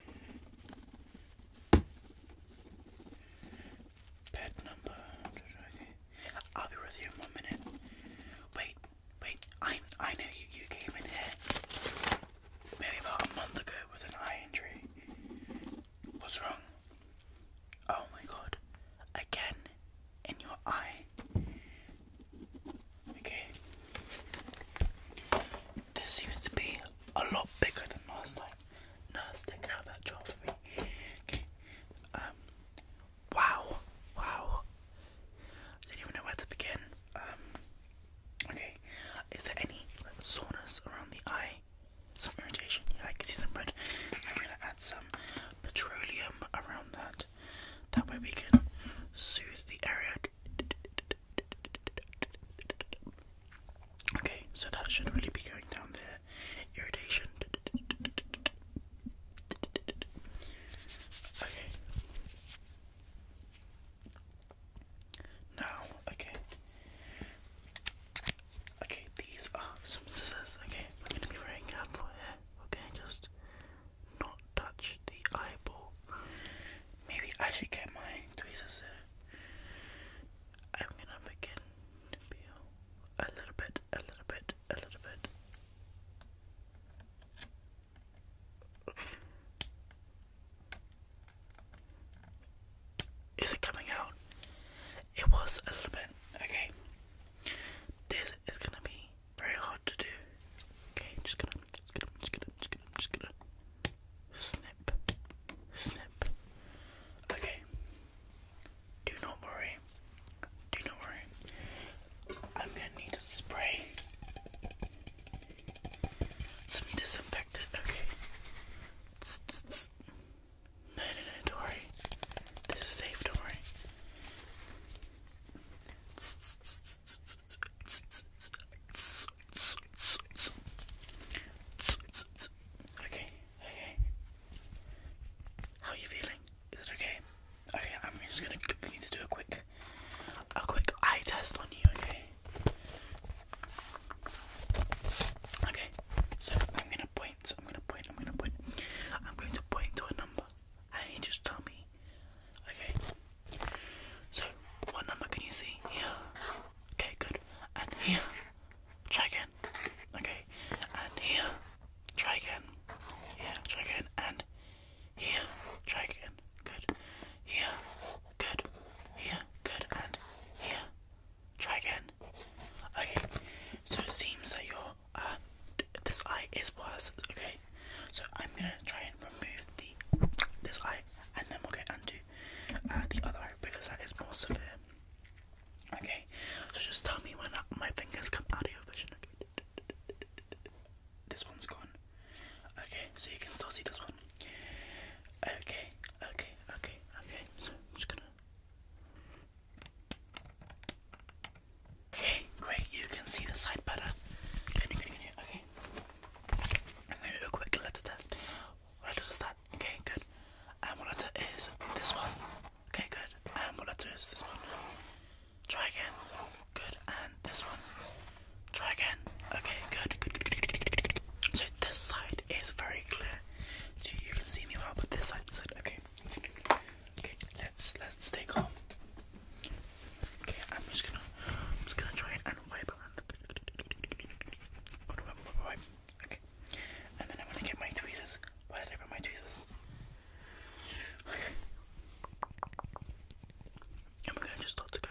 Pet number. I'll be with you in one minute. Wait, wait. I I know you, you came in here maybe about a month ago with an eye injury. What's wrong? Oh my god. Again in your eye. Okay. This seems to be a lot bigger than last time. Nurse, take out that jar for me. Okay. Um. Wow. Wow. don't even know where to begin. Um. Okay. Is there any soreness around the eye? Some irritation. Yeah, I can see some red. I'm gonna add some petroleum around that. That way we can soothe the area Okay, so that should really be going down there. Irritation. Okay. Now, okay. Okay, these are some scissors. Okay, we're gonna be very careful here. Okay, just not touch the eyeball. Maybe I should get my tweezers. I'm gonna begin to peel a little bit, a little bit, a little bit. Is it coming out? It was a little bit. Okay. This is gonna be very hard to do. Okay, just gonna, just gonna, just gonna, just I'm just gonna snip, snip. Okay. Do not worry. Do not worry. I'm gonna need a spray. Some disinfectant. Okay. Tss, This is safe, don't worry. Okay, okay. How are you feeling? Is it okay? Okay, I'm just gonna need to do a quick, a quick eye test on you. Okay. Okay. So I'm gonna point. I'm gonna point. I'm gonna point. I'm going to point to a number, and you just tell me. Okay. So, what number can you see? Here. Okay, good. And here. Try again. Okay. And here. Try again. Yeah, try again. And here. Try again. Good. Here. Good. Here. Good. And here. Try again. Okay. So it seems that your uh, this eye is worse. Okay. So I'm gonna try and remove the this eye, and then we'll get undo uh, the other eye because that is more severe. Okay, so just tell me when my fingers come out of your vision. Okay, this one's gone. Okay, so you can still see this one. Okay, okay, okay, okay. So I'm just gonna. Okay, great. You can see the side better. Can you, can you, can you? Okay. Okay. I'm gonna do a quick letter test. What letter is that? Okay, good. And what letter is this one? Okay, good. And what letter is this one? Try again. Good. And this one. Try again. Okay, good. Good, good, good, good, good, So this side is very clear. So you can see me well, but this side is Okay. Okay, let's let's stay calm. Okay, I'm just gonna, I'm just gonna try and wipe on. Okay, and then I'm gonna get my tweezers. Why did I bring my tweezers? Okay, and we're gonna just start to go.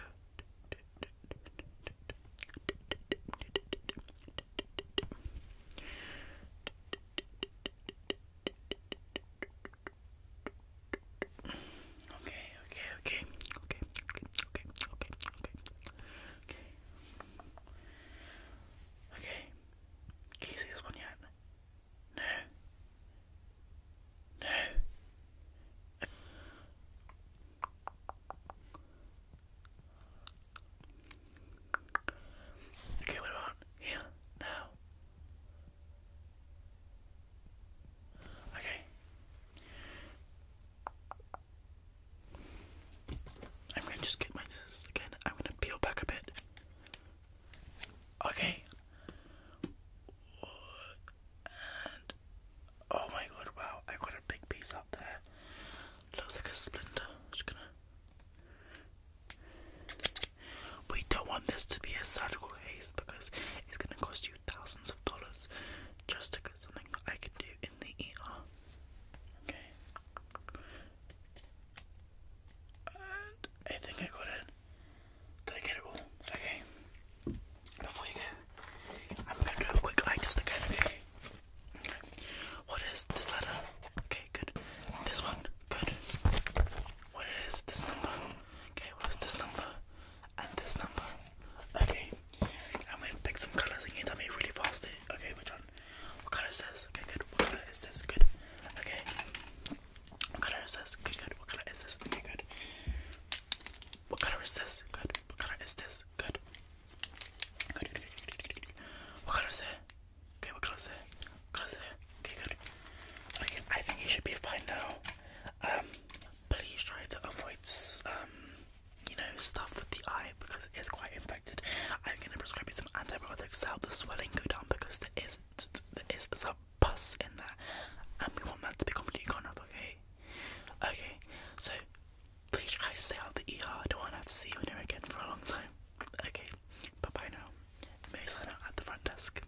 Okay, okay, okay, okay, okay, okay, okay, okay, okay. Okay. Can you see this one yet? No. No. Okay, what about here? Now. Okay. I'm gonna just get my scissors I'm gonna peel back a bit. Okay. oh my god, wow, I got a big piece up there. Looks like a splinter. we don't want this to be a surgical haze because it's gonna cause thousands of dollars just to get something that I can do in the ER. Okay. I think I got it. Did I get it all? Okay. Before you go, I'm going to do a quick eye test Okay. What is this letter? Okay, good. This one? Good. What is this number? Okay, what is this number? and this number. Okay, I'm gonna pick some colors and you can tell me really fast. Okay, which one? What color is this? Okay, good. What color is this? Good. Okay. What color is this? Okay, good. What color is this? Okay, good. What color is this? Good. What color is this? Good. Good, good, good, good, good, good. What color is it? Okay, what color is it? What color is it? Okay, good. Okay, I think you should be fine now. Um, please try to avoid um, you know stuff with the eye because it is quite infected. I'm gonna prescribe you some antibiotics to help the swelling go down because there is there is some pus in there, and we want that to be completely gone up. Okay, okay. So please try to stay out of the ER. I don't want to see you in anywhere again for a long time. Okay, bye bye now. Maybe sign out at the front desk.